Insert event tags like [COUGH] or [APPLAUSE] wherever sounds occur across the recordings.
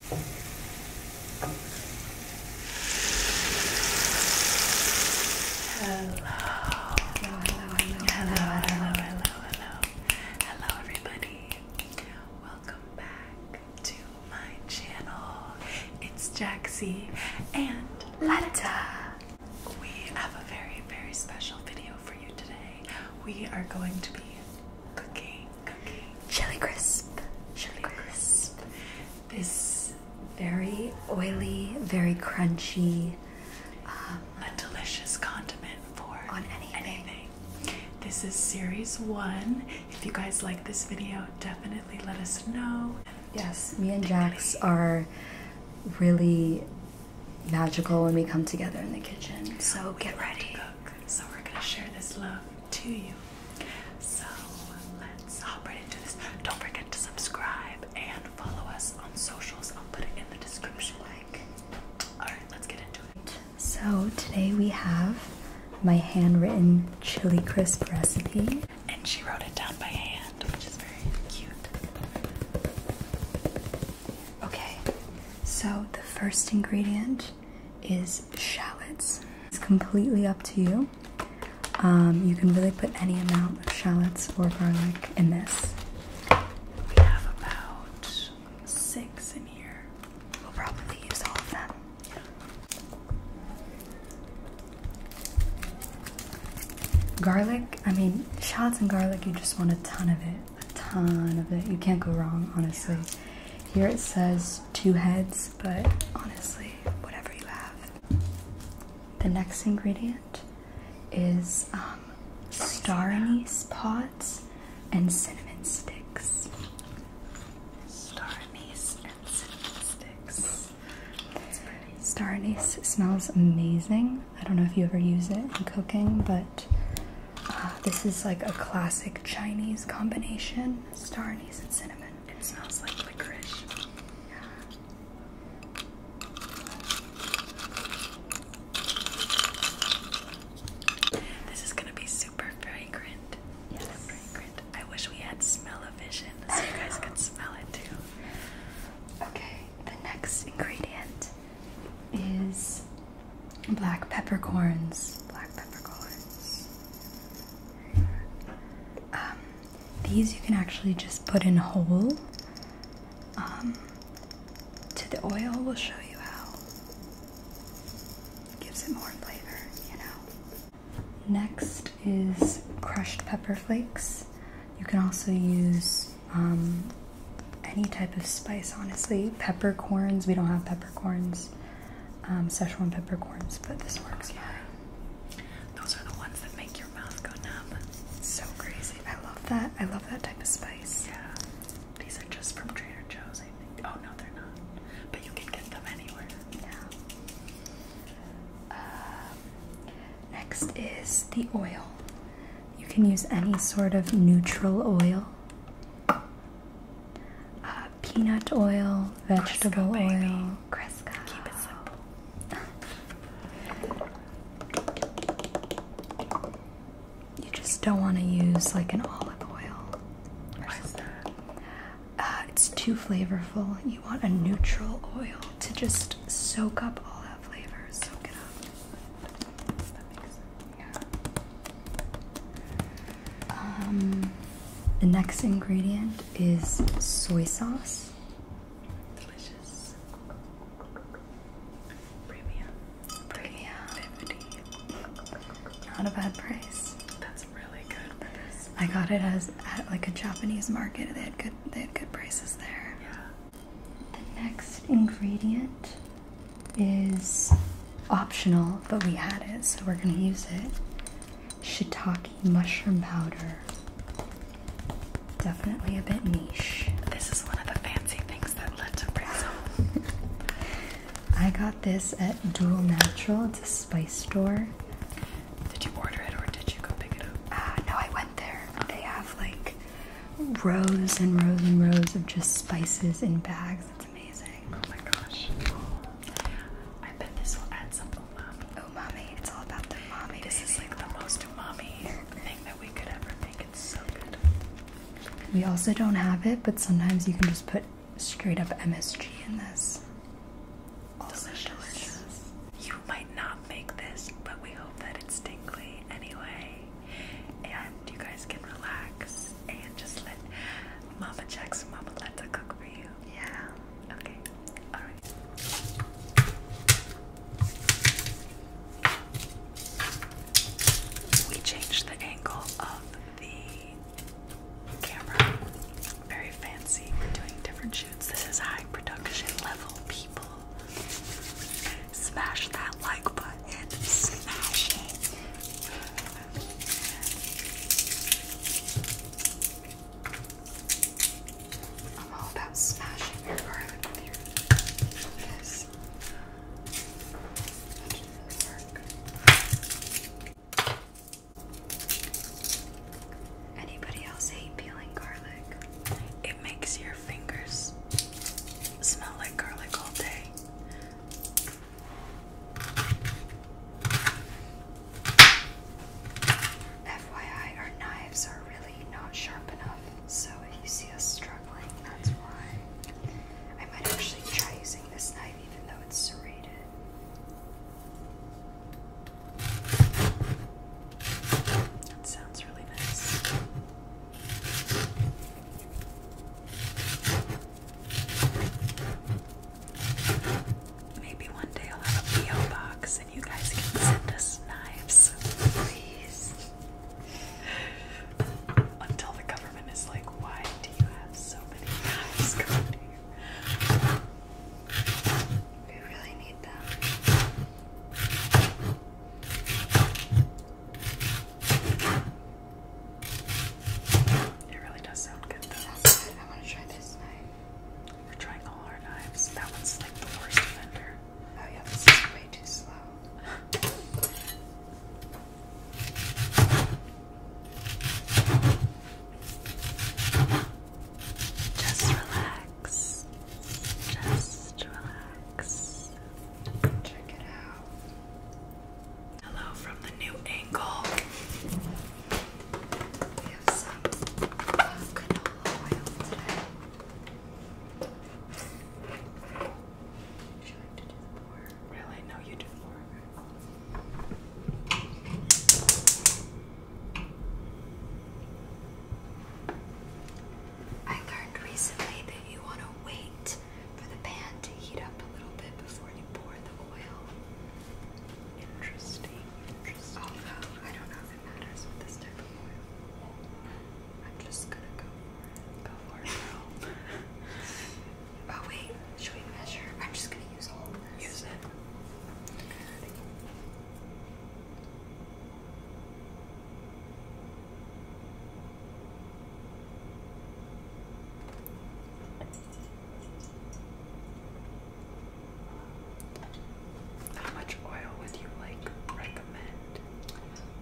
Hello. Hello, hello, hello, hello, hello, hello, everybody. Welcome back to my channel. It's Jaxie and Letta. We have a very, very special video for you today. We are going to be Cookie, cookie. Chili crisp. Chili crisp. This very oily, very crunchy. Um, a delicious condiment for on anything. anything. This is series one. If you guys like this video, definitely let us know. Yes, me and Jax are really magical when we come together in the kitchen. So get ready. so we're gonna share this love to you. So let's hop right into this. Don't forget to subscribe and follow us on socials. I'll put it in the description. Like, alright, let's get into it. So today we have my handwritten chili crisp recipe. And she wrote it down by hand, which is very cute. Okay, so the first ingredient is shallots. It's completely up to you. Um, you can really put any amount of shallots or garlic in this. We have about six in here. We'll probably use all of them. Garlic, I mean, shallots and garlic, you just want a ton of it a ton of it. You can't go wrong, honestly. Here it says two heads, but honestly, whatever you have. The next ingredient is um, star anise pods and cinnamon sticks. Star anise and cinnamon sticks. Star anise smells amazing. I don't know if you ever use it in cooking, but Ah, this is like a classic Chinese combination star anise and cinnamon. It smells like licorice. This is gonna be super fragrant. Yes. fragrant. I wish we had smell so you guys could smell it too. Okay, the next ingredient is black peppercorns, um, these you can actually just put in whole. Um, to the oil, we'll show you how. gives it more flavor, you know. Next is crushed pepper flakes. You can also use um, any type of spice, honestly. Peppercorns, we don't have peppercorns, um, Szechuan peppercorns, but this works Yeah, Those are the ones that make your mouth go numb. It's so crazy. I love that. I love that type of spice. Yeah. These are just from Trader Joe's, I think. Oh, no, they're not. But you can get them anywhere. Yeah. Um, next is the oil. You can use any sort of neutral oil uh, peanut oil, vegetable oil, Cresco. Keep it simple. you just don't want to use like an olive oil. Why is that? Uh, it's too flavorful. You want a neutral oil to just soak up all that flavor. Soak it up. Um, the next ingredient is soy sauce. Delicious. Premium. Premium. Not a bad price. That's really good for I got it as at like a Japanese market. They had good they had good prices there. Yeah. The next ingredient is optional, but we had it, so we're going to use it. Shiitake mushroom powder. Definitely a bit niche. This is one of the fancy things that Linda brings home. I got this at Dual Natural. It's a spice store. Did you order it or did you go pick it up? Ah, no, I went there. They have like rows and rows and rows of just spices in bags. It's amazing. Oh my gosh. I bet this will add some umami. Umami. Oh, it's all about the umami. This baby. is like the most umami thing that we could ever make. It's so good. We also don't have it, but sometimes you can just put straight up MSG in this. Also delicious. delicious. You might not make this, but we hope that it's tingly anyway and you guys can relax and just let Mama and Mama Letta cook for you. Yeah. Okay. All right. We changed the angle of the camera. Very fancy. We're doing different shoots. This is high production level people. Smash that like button. Smash it. I'm all about smashing your garlic Anybody else hate peeling garlic? It makes your fingers smell like garlic all day. FYI, our knives are really not sharp enough, so if you see us struggling, that's why. I might actually try using this knife even though it's serrated. That sounds really nice. Maybe one day I'll have a PO box and you guys can send us knives, please. Until the government is like, why do you have so many knives coming here? We really need them. It really does sound good though. I want to try this knife. We're trying all our knives. That one's like the worst offender. Oh yeah, this is way too slow. [LAUGHS] Just relax. Just relax. Check it out. Hello from the new angle. We have some canola oil today. Should I to do the Really? No, you do pour. I learned recently that you want to wait for the pan to heat up a little bit before you pour the oil. Interesting, interesting. Although, I don't know if it matters with this type of oil. I'm just gonna go Go for [LAUGHS] oh, wait, should we measure? I'm just gonna use all of Use it. How much oil would you like recommend?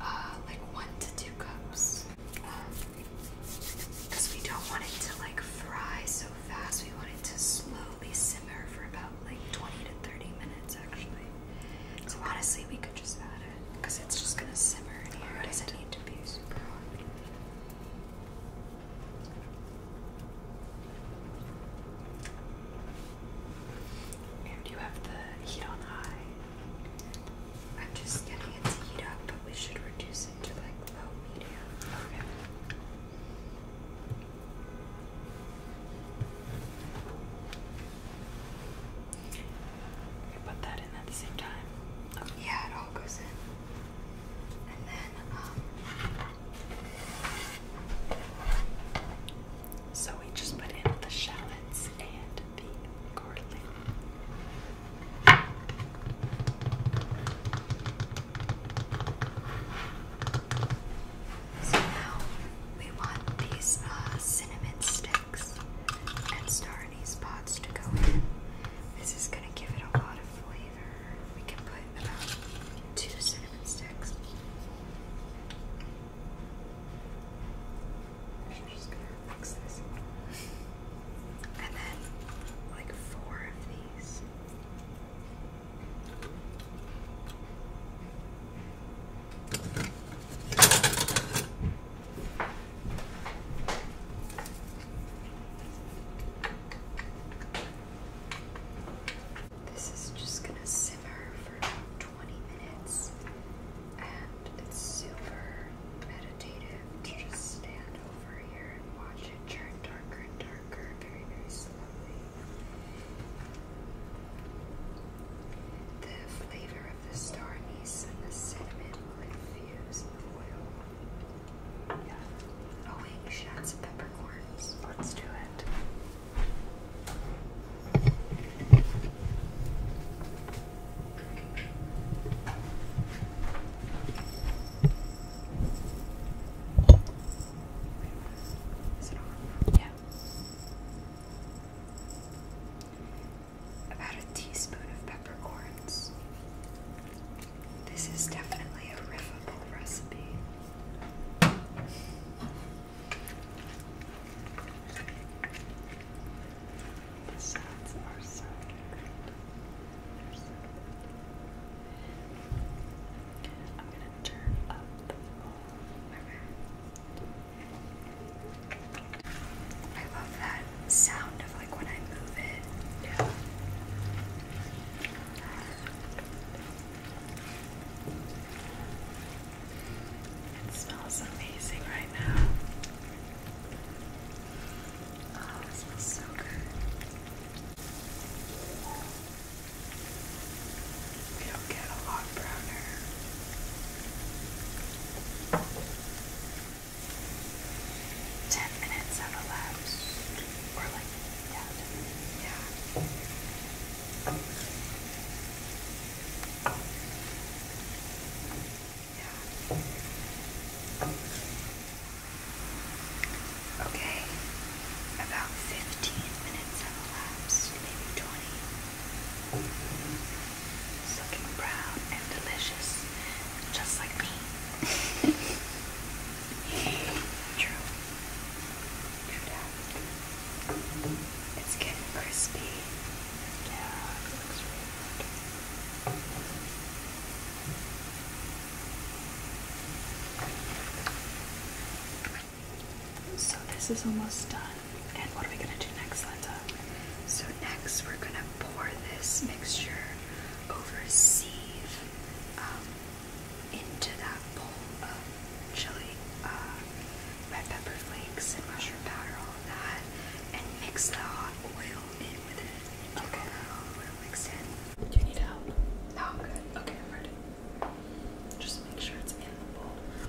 Uh, like one to two cups. Because um, we don't want it to like fry so fast, we want it to slowly simmer for about like 20 to 30 minutes actually. So honestly, we could just add it because it's just gonna simmer in here. Right. It does need to be super hot. And you have the heat on high. I'm just getting it to heat up, but we should reduce it to like low medium. Okay. We put that in at the same time. Yeah, it all goes in. And then, um, so we just put in the shallots and the garlic. So now we want these uh, cinnamon sticks and star anise pods to go in. This is going to give it a lot of flavor. We can put about two cinnamon sticks. I'm just going to mix this. And then, like, four of these. This is just going to simmer for 20 minutes, and it's super meditative to just stand over here and watch it turn darker and darker very, very slowly. The flavor of the star anise and the cinnamon will infuse the oil. Oh wait, you should add some peppercorns. Let's do it Yeah. About a teaspoon of peppercorns. This is definitely a riffable recipe. The sounds are so good. I'm gonna turn up the volume. I love that sound of like when I move it. It smells amazing right now. Oh, it smells so good. We don't get a lot browner. Ten minutes have elapsed. Or like, yeah, ten minutes. Yeah. Yeah. Okay, about 15 minutes have elapsed, maybe 20. It's brown and delicious, just like me. [LAUGHS] True. It's getting crispy. Yeah, so this is almost done. And what are we gonna do next, Linda? So next we're gonna pour this mixture over a sieve um, into that bowl of chili, uh, red pepper flakes and mushroom powder, all of that, and mix the hot oil in with it. Okay. All that Do you need help? No, good. Okay, I'm ready. Just make sure it's in the bowl. Wow.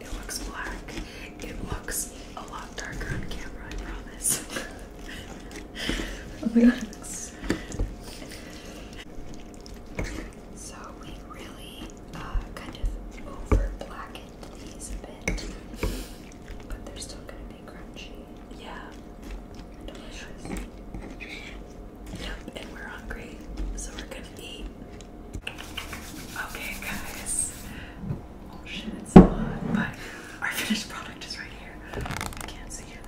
It looks black. It looks a lot darker on camera, I promise. oh my god. So we really uh, kind of over these a bit, but they're still gonna be crunchy. Yeah. Delicious. Yep, and we're hungry, so we're gonna eat. Okay, guys. Oh shit, it's hot, but our finished product is right here. I can't see it.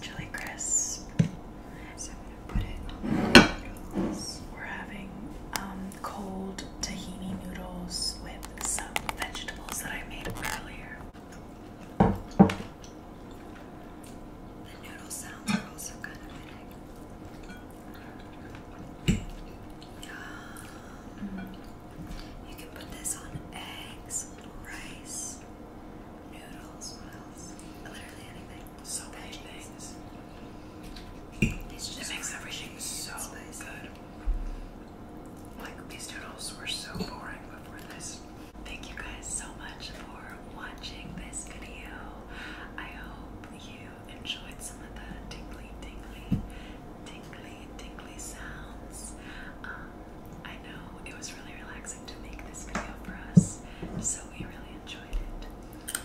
Chili crisp. So I'm gonna put it noodles. We're having um, cold tahini noodles with some vegetables that I made earlier. The noodle sounds also kind of big. Um, you can put this on eggs, rice, noodles, what Literally anything. So many things. It makes everything so good. Like these noodles were so boring before this. Thank you guys so much for watching this video. I hope you enjoyed some of the tingly, tingly, tingly, tingly sounds. Um, I know it was really relaxing to make this video for us, so we really enjoyed it.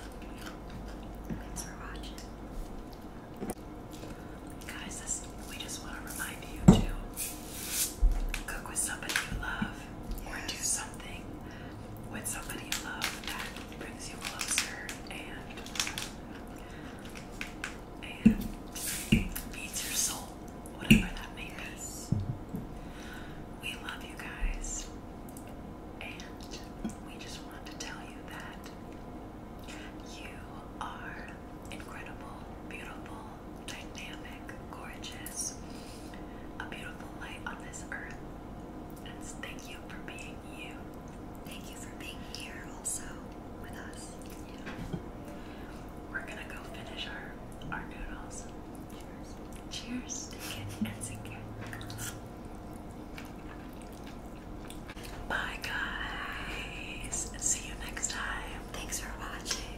Thanks for watching. Guys, this, we just want to remind you to cook with somebody you love yes. or do something with somebody you love that brings you closer and and feeds your soul, whatever that may be. We love you guys, and we just want to tell you that you are incredible, beautiful, dynamic, gorgeous, a beautiful light on this earth. And thank you for being you. Thank you for being here also with us. We're gonna go finish our, our noodles. Cheers. Cheers to Kit and Zinkin. Bye guys. See you next time. Thanks for watching.